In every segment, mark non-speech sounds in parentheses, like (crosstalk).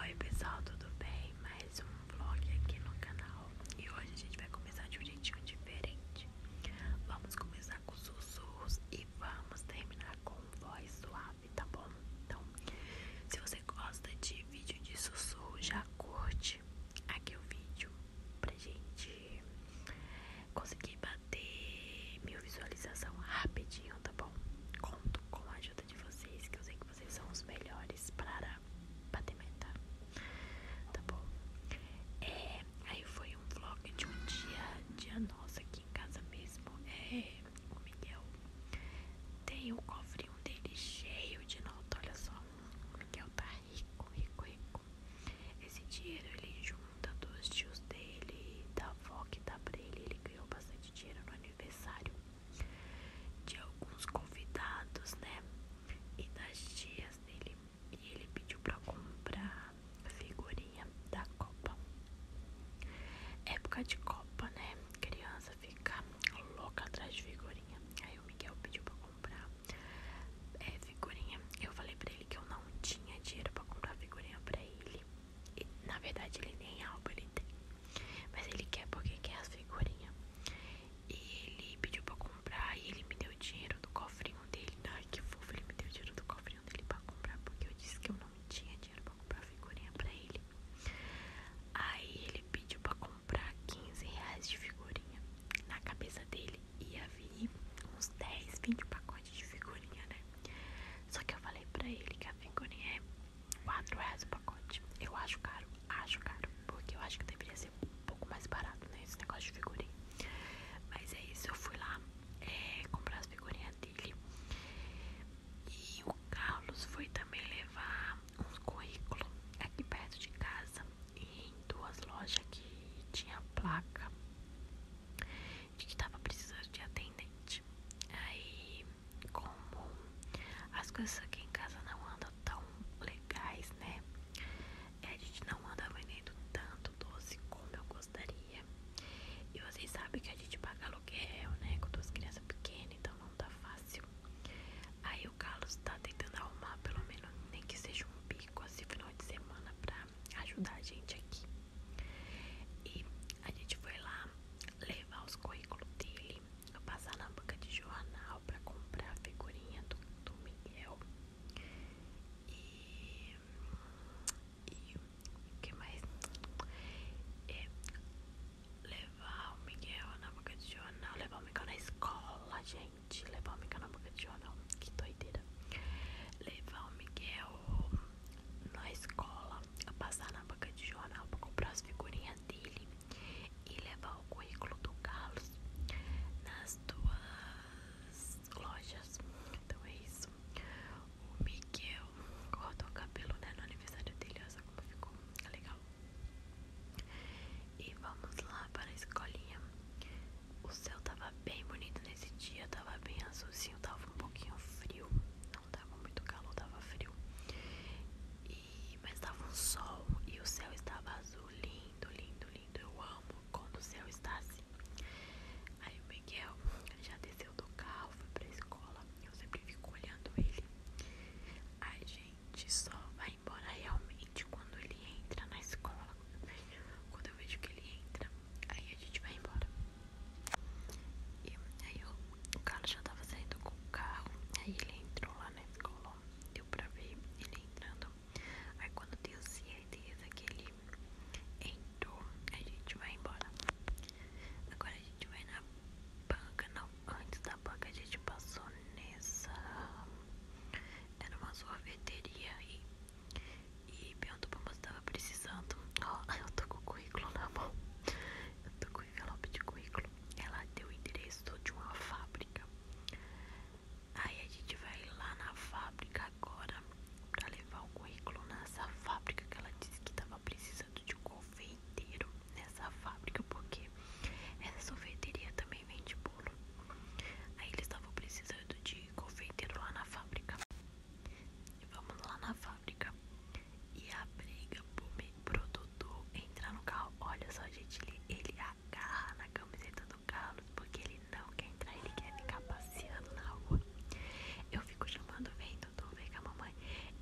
Oi pessoal, tudo bem? Mais um vlog aqui no canal E hoje a gente vai começar de um jeitinho diferente Vamos começar com sussurros e vamos terminar com voz suave, tá bom? Então, se você gosta de vídeo de sussurro, já curte aqui o vídeo Pra gente conseguir bater mil visualizações rapidinho, tá bom? Conto com a ajuda de vocês, que eu sei que vocês são os melhores para bater meta. Tá bom? É, aí foi um vlog de um dia, dia nosso aqui em casa mesmo. É, o Miguel tem o cofrinho dele cheio de notas olha só. O Miguel tá rico, rico, rico. Esse dinheiro ele junta dos tios dele, da avó que dá pra ele. Ele ganhou bastante dinheiro no aniversário de alguns convidados, né? E das tias dele. E ele pediu pra comprar figurinha da Copa. Época de Copa, né? Criança fica louca atrás de figurinha. Aí o Miguel pediu pra comprar é, figurinha. Eu falei pra ele que eu não tinha dinheiro pra comprar figurinha pra ele. Na verdade ele nem é álbum ele tem. Mas ele quer porque quer as figurinhas. E ele pediu pra comprar e ele me deu dinheiro do cofrinho dele. Ai que fofo, ele me deu dinheiro do cofrinho dele pra comprar. Porque eu disse que eu não tinha dinheiro pra comprar figurinha pra ele. Aí ele pediu pra comprar 15 reais de figurinha. Na cabeça dele ia vir uns 10, 20 pacotes de figurinha, né? Só que eu falei pra ele que a figurinha é 4 reais o pacote. Eu acho caro, acho caro, porque eu acho que deveria ser um pouco mais barato, né? Esse negócio de figurinha. Mas é isso, eu fui lá é, comprar as figurinhas dele. E o Carlos foi também levar uns currículos aqui perto de casa. em duas lojas que tinha placa de que tava precisando de atendente. Aí como as coisas aqui em casa não andam tão legais, né? É, a gente não anda vendendo tanto doce como eu gostaria. E vocês sabem que a gente paga aluguel, né? Com duas crianças pequenas, então não tá fácil. Aí o Carlos tá tentando arrumar, pelo menos, nem que seja um bico assim, final de semana, pra ajudar a gente aqui. E a gente foi lá, levar os currículos dele, passar na banca de jornal para comprar a figurinha do, do Miguel. E, e o que mais? É, levar o Miguel na boca de jornal, levar o Miguel na escola, gente. Levar o Miguel na boca de jornal, que doideira. Levar o Miguel na escola a passar na banca de jornal para comprar as figurinhas dele e levar o currículo do Carlos nas duas lojas. Então é isso. O Miguel cortou o cabelo né, no aniversário dele, olha só como ficou legal. E vamos lá para a escolinha. O céu tava bem bonito nesse dia, tava bem azulzinho, tava um pouquinho frio, não tava muito calor, tava frio. mas tava um sol e o céu estava azul, lindo, lindo, lindo. Eu amo quando o céu está assim. Aí o Miguel já desceu do carro, foi pra escola. Eu sempre fico olhando ele. A gente só vai embora realmente quando ele entra na escola. Quando eu vejo que ele entra, aí a gente vai embora. E aí o, o cara já tava saindo com o carro, aí ele entrou lá, né? Ficou deu pra ver ele entrando. Aí quando deu certeza que ele entrou, a gente vai embora. Agora a gente vai na banca, não, antes da banca a gente passou nessa. Era uma sorveteria aí. E e perguntou pra moça se precisando. eu tô com o currículo na mão. Eu tô com o envelope de currículo. Ela deu o endereço de uma fábrica. Aí a gente vai lá na fábrica agora pra levar o currículo nessa fábrica que ela disse que tava precisando de um confeiteiro nessa fábrica, porque essa sorveteria também vende bolo. Aí eles estavam precisando de confeiteiro lá na fábrica. Vamos lá na fábrica. E a briga pro produtor entrar no carro. Olha só, gente, ele, agarra na camiseta do Carlos porque ele não quer entrar, ele quer ficar passeando na rua. Eu fico chamando, vem Dudu, vem com a mamãe.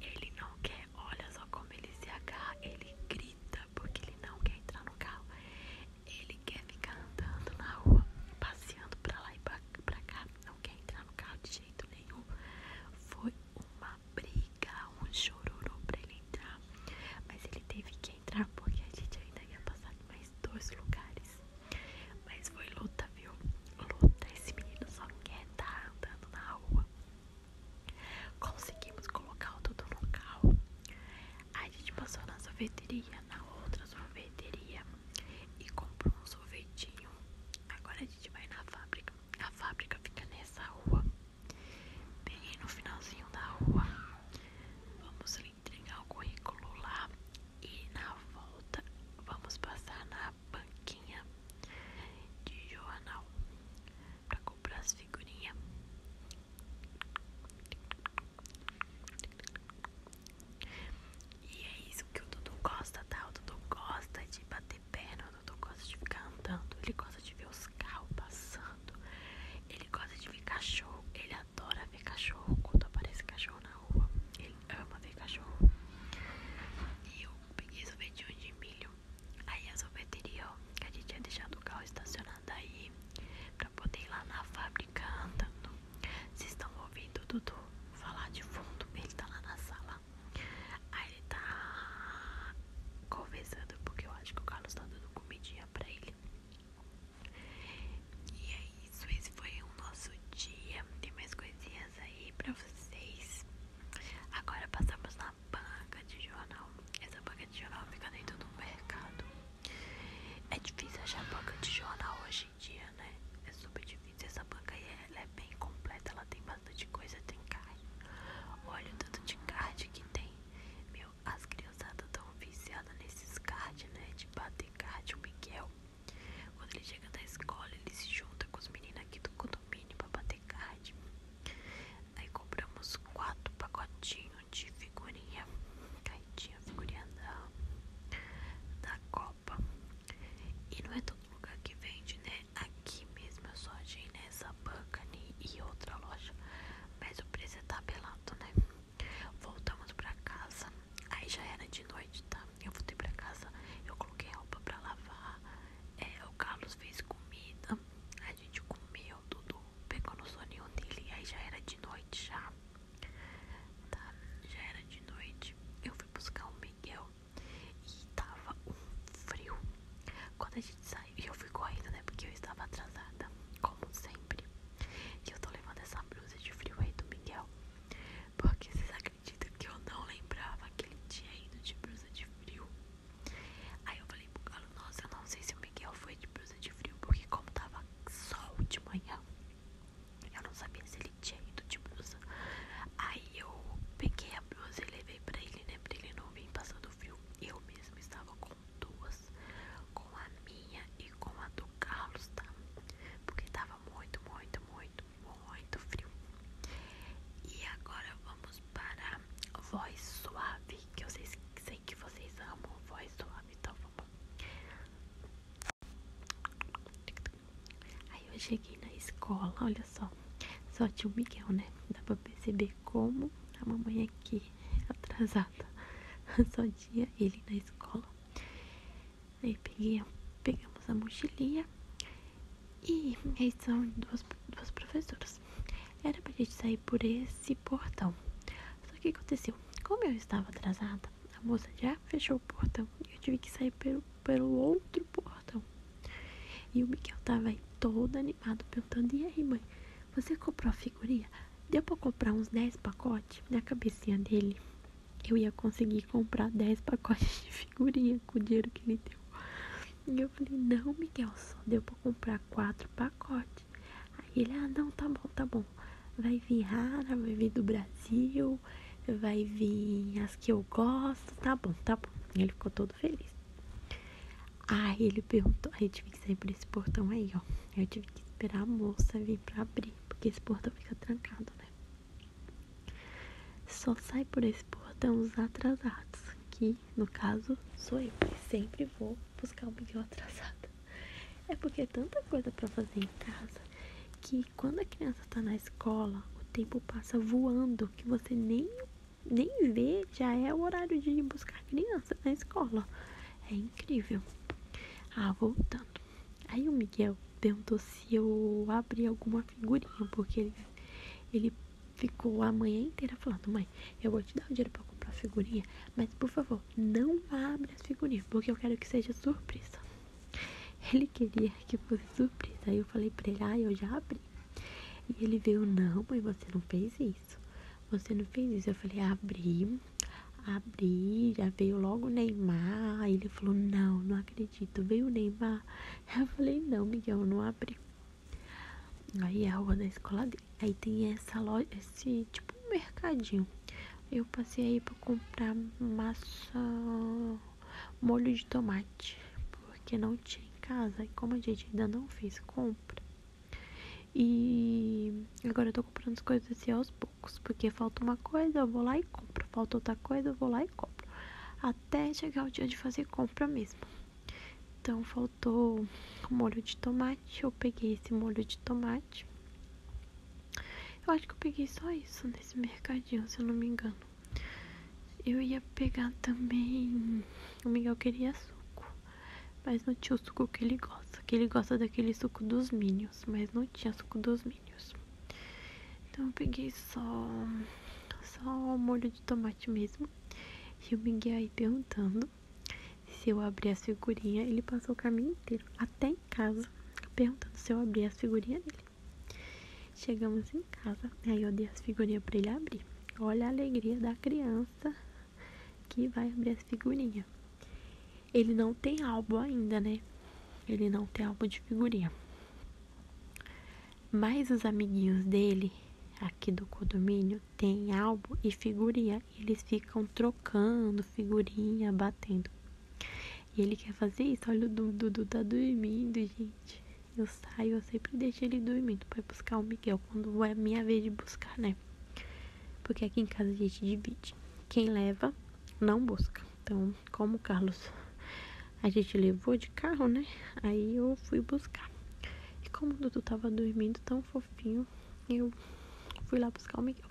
Ele não quer, olha só como ele se agarra, ele grita porque ele não quer entrar no carro. Ele quer ficar andando na rua, passeando pra lá e pra, pra cá, não quer entrar no carro de jeito nenhum. Foi uma briga, um chororô pra ele entrar. Mas ele teve que entrar porque a gente ainda ia passar em mais dois lugares. Mas foi luta, viu? Luta. Esse menino só quer estar tá andando na rua. Conseguimos colocar o todo no carro. A gente passou na sorveteria, na outra sorveteria e compro um sorvetinho. Agora a gente vai na fábrica. A fábrica fica nessa rua. Bem no finalzinho da rua. Vamos entregar o currículo lá. E na volta vamos passar na banquinha de jornal para comprar as figurinhas. E é isso que o Dudu gosta, tá? O Dudu gosta de bater perna, o Dudu gosta de ficar andando, ele gosta de ver os carros passando, ele gosta de ver cachorro, ele adora ver cachorro quando aparece cachorro na rua, ele ama ver cachorro. E eu peguei sorvetinho de milho, aí a sorveteria ó, que a gente tinha deixado o carro estacionado aí pra poder ir lá na fábrica andando. Vocês estão ouvindo, Dudu? falar de fundo, ele tá lá na sala. Aí ele tá conversando porque eu acho que o Carlos tá dando comidinha pra ele. E é isso, esse foi o nosso dia. Tem mais coisinhas aí pra vocês. Agora passamos na banca de jornal. Essa banca de jornal fica dentro do mercado. É difícil achar banca de jornal hoje dia, né? É super difícil. Essa banca aí ela é bem completa, ela tem bastante coisa, tem carne. Olha o tanto de card que tem. Meu, as criançadas tão viciadas nesses cards, né? De bater card, o Miguel. Quando ele chega da escola, ele se junta com os meninos aqui do condomínio pra bater card. Aí compramos quatro pacotinhos de figurinha. Caidinha, figurinha da, copa Europa. E não é todo lugar que vende, né? Aqui mesmo eu só achei nessa Bucani e outra loja. Mas o preço é tabelado, né? Voltamos pra casa. Aí já era de noite, tá? Eu voltei pra casa, eu coloquei roupa pra lavar. É, o Carlos fez comida. A gente comeu tudo. Pegou no soninho dele. Aí já era de noite já tá? Já era de noite, eu fui buscar o Miguel e tava um frio. Quando a gente saiu, eu fui correndo, né? Porque eu estava atrasada, como sempre. E eu tô levando essa blusa de frio aí do Miguel. Porque vocês acreditam que eu não lembrava aquele dia tinha de blusa de frio. Aí eu falei pro Galo, nossa, eu não sei se o Miguel foi de blusa de frio, porque como tava sol de manhã, eu não sabia se ele tinha ido de blusa. Aí eu peguei a blusa e levei pra ele, né? Pra ele não vir passando frio. Eu mesma estava com duas, com a minha e com a do Carlos, tá? Porque tava muito, muito, muito, muito frio. E agora vamos para voz suave, que eu sei, sei que vocês amam voz suave, então vamos. Aí eu cheguei na escola, olha só. Só tinha o Miguel, né? Dá pra perceber como a mamãe aqui (laughs) atrasada. (laughs) Só tinha ele na escola. Aí peguei, pegamos a mochilinha e aí são duas, duas professoras. Era pra gente sair por esse portão. Só que aconteceu, como eu estava atrasada, a moça já fechou o portão e eu tive que sair pelo, pelo outro portão. E o Miguel tava aí todo animado, perguntando: E aí, mãe, você comprou a figurinha? Deu pra comprar uns 10 pacotes? Na cabecinha dele, eu ia conseguir comprar 10 pacotes de figurinha com o dinheiro que ele deu. E eu falei: Não, Miguel, só deu pra comprar 4 pacotes. Aí ele: Ah, não, tá bom, tá bom vai vir rara, vai vir do Brasil, vai vir as que eu gosto, tá bom, tá bom. Ele ficou todo feliz. Aí ele perguntou, aí eu tive que sair por esse portão aí, ó. Eu tive que esperar a moça vir pra abrir, porque esse portão fica trancado, né? Só sai por esse portão os atrasados, que no caso sou eu, porque sempre vou buscar o Miguel atrasado. É porque é tanta coisa para fazer em casa que quando a criança está na escola, o tempo passa voando, que você nem, nem vê, já é o horário de ir buscar a criança na escola. É incrível. Ah, voltando. Aí o Miguel perguntou se eu abrir alguma figurinha, porque ele, ele ficou a manhã inteira falando, mãe, eu vou te dar o dinheiro pra comprar figurinha, mas por favor, não abra as figurinhas, porque eu quero que seja surpresa. Ele queria que fosse surpresa. Aí eu falei pra ele, ah, eu já abri. E ele veio, não, mãe, você não fez isso. Você não fez isso. Eu falei, abri, abri, já veio logo Neymar. ele falou, não, não acredito, veio Neymar. (laughs) Eu falei, não, Miguel, não abri. Aí é a rua da escola dele. Aí tem essa loja, esse tipo um mercadinho. Eu passei aí para comprar massa, molho de tomate, porque não tinha em casa. E como a gente ainda não fez compra, e agora eu tô comprando as coisas assim aos poucos, porque falta uma coisa, eu vou lá e compro, falta outra coisa, eu vou lá e compro, até chegar o dia de fazer compra mesmo. Então faltou molho de tomate, eu peguei esse molho de tomate eu acho que eu peguei só isso nesse mercadinho, se eu não me engano. Eu ia pegar também. O Miguel queria suco. Mas não tinha o suco que ele gosta. Que ele gosta daquele suco dos Minions. Mas não tinha suco dos Minions. Então eu peguei só. Só o molho de tomate mesmo. E o Miguel aí perguntando se eu abrir a figurinha. Ele passou o caminho inteiro até em casa, perguntando se eu abria as figurinhas dele. Chegamos em casa, aí eu dei as figurinhas para ele abrir. Olha a alegria da criança que vai abrir as figurinhas. Ele não tem álbum ainda, né? Ele não tem álbum de figurinha. Mas os amiguinhos dele, aqui do condomínio, têm álbum e figurinha. Eles ficam trocando figurinha, batendo e ele quer fazer isso. Olha, o Dudu tá dormindo, gente. Eu saio, eu sempre deixo ele dormindo pra buscar o Miguel quando é minha vez de buscar, né? Porque aqui em casa a gente divide. Quem leva, não busca. Então, como o Carlos a gente levou de carro, né? Aí eu fui buscar. E como o Dudu tava dormindo tão fofinho, eu fui lá buscar o Miguel.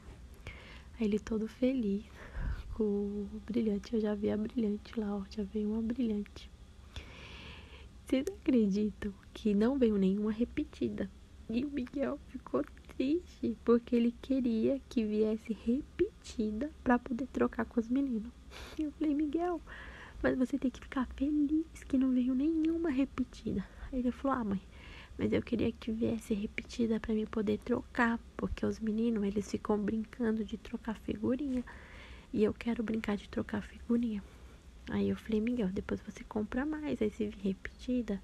Aí ele todo feliz com o brilhante. Eu já vi a brilhante lá, ó. Já veio uma brilhante. Vocês acreditam que não veio nenhuma repetida? E o Miguel ficou triste porque ele queria que viesse repetida para poder trocar com os meninos. E eu falei, Miguel, mas você tem que ficar feliz que não veio nenhuma repetida. Aí ele falou: Ah, mãe, mas eu queria que viesse repetida para me poder trocar, porque os meninos, eles ficam brincando de trocar figurinha. E eu quero brincar de trocar figurinha. Aí eu falei, Miguel, depois você compra mais. Aí se vir repetida,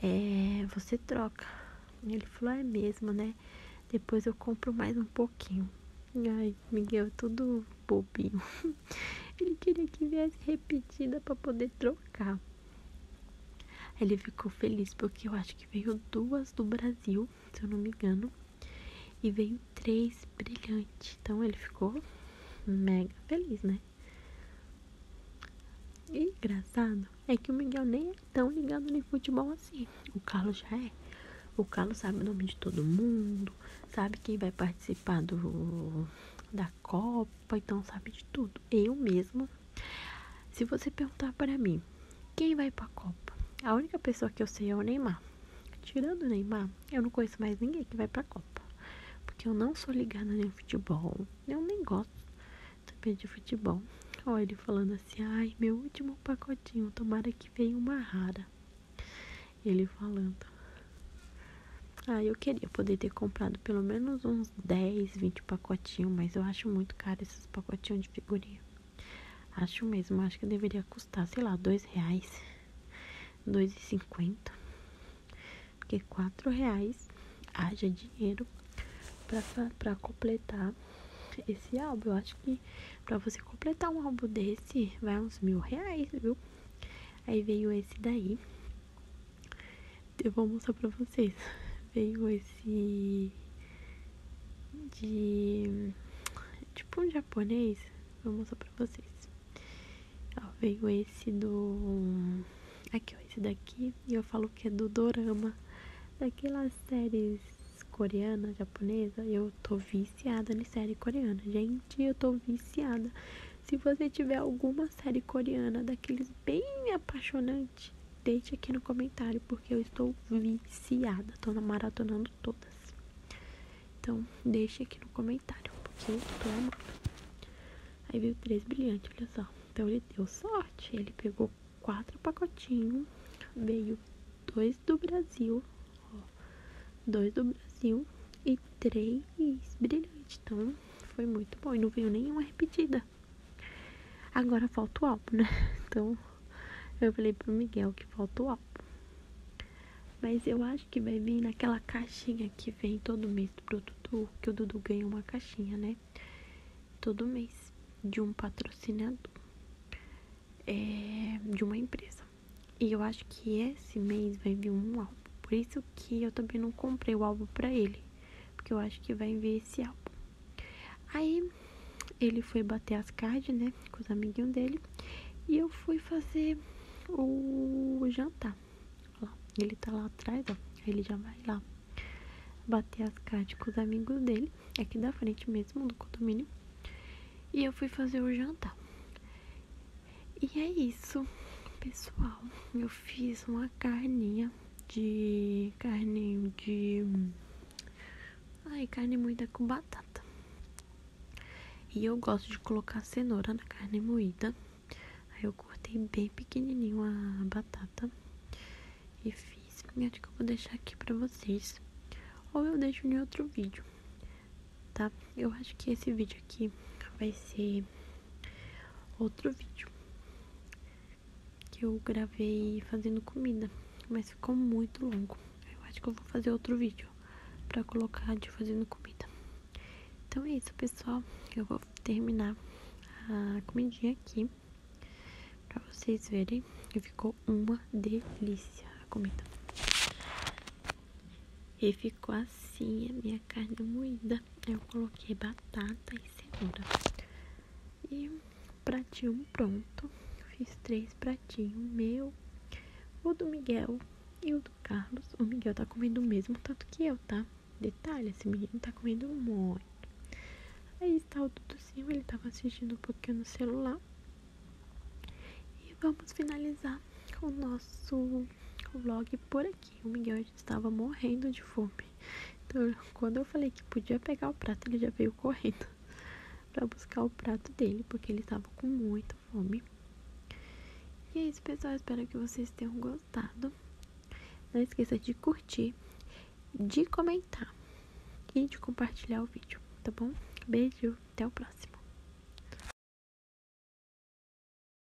é, você troca. Ele falou, é mesmo, né? Depois eu compro mais um pouquinho. Ai, Miguel, tudo bobinho. (laughs) Ele queria que viesse repetida para poder trocar. Ele ficou feliz porque eu acho que veio duas do Brasil, se eu não me engano, e veio três brilhantes. Então ele ficou mega feliz, né? E engraçado é que o Miguel nem é tão ligado em futebol assim. O Carlos já é. O Carlos sabe o nome de todo mundo, sabe quem vai participar do da Copa Poitão sabe de tudo. Eu mesmo. Se você perguntar para mim, quem vai para a Copa? A única pessoa que eu sei é o Neymar. Tirando o Neymar, eu não conheço mais ninguém que vai para a Copa. Porque eu não sou ligada nem futebol. Eu nem gosto também de futebol. Olha ele falando assim, ai, meu último pacotinho, tomara que venha uma rara. Ele falando. Ah, eu queria poder ter comprado pelo menos uns uns 10, 20 pacotinhos, mas eu acho muito caro esses pacotinhos de figurinha. Acho mesmo, acho que deveria custar, sei lá, dois reais, dois e cinquenta. Porque quatro reais haja dinheiro pra, pra completar esse álbum. Eu acho que pra você completar um álbum desse, vai uns mil reais, viu? Aí veio esse daí eu vou mostrar pra vocês. Veio esse de tipo um japonês. Vou mostrar pra vocês. Ó, veio esse do aqui, ó, esse daqui, e eu falo que é do dorama, daquelas séries coreana, japonesa, eu tô viciada em série coreana. Gente, eu tô viciada. Se você tiver alguma série coreana daqueles bem apaixonante, deixe aqui no comentário, porque eu estou viciada, tô maratonando todas. Então, deixe aqui no comentário, porque eu tô amando. Aí veio três brilhantes, olha só. Então ele deu sorte, ele pegou quatro pacotinhos, veio dois do Brasil, ó, dois do Brasil e três brilhantes. Então, foi muito bom e não veio nenhuma repetida. Agora falta o álbum, né? (laughs) Então, eu falei pro Miguel que falta o álbum. Mas eu acho que vai vir naquela caixinha que vem todo mês pro Dudu, que o Dudu ganha uma caixinha, né? Todo mês. De um patrocinador. É, de uma empresa. E eu acho que esse mês vai vir um álbum. Por isso que eu também não comprei o álbum pra ele porque eu acho que vai ver esse álbum. Aí ele foi bater as cards, né, com os amiguinhos dele, e eu fui fazer o jantar. Lá, ele tá lá atrás, ó, ele já vai lá bater as cards com os amigos dele, é aqui da frente mesmo, no condomínio. E eu fui fazer o jantar. E é isso, pessoal. Eu fiz uma carninha de carne de ai carne moída com batata e eu gosto de colocar cenoura na carne moída aí eu cortei bem pequenininho a batata e fiz e acho que eu vou deixar aqui para vocês ou eu deixo em outro vídeo tá eu acho que esse vídeo aqui vai ser outro vídeo que eu gravei fazendo comida, mas ficou muito longo. acho que eu vou fazer outro vídeo para colocar de fazendo comida. Então é isso, pessoal. Eu vou terminar a comidinha aqui para vocês verem que ficou uma delícia a comida. E ficou assim a minha carne moída. Eu coloquei batata e cenoura. E pratinho pronto. Fiz três pratinhos. O meu, o do Miguel e o do Carlos. O Miguel tá comendo o mesmo tanto que eu, tá? Detalhe, esse menino tá comendo muito. Aí está o Duduzinho, ele tava assistindo um pouquinho no celular. E vamos finalizar o nosso vlog por aqui. O Miguel estava morrendo de fome. Então, quando eu falei que podia pegar o prato, ele já veio correndo (laughs) para buscar o prato dele, porque ele estava com muita fome. E é isso, pessoal. Espero que vocês tenham gostado. Não esqueça de curtir, de comentar e de compartilhar o vídeo, tá bom? Beijo, até o próximo.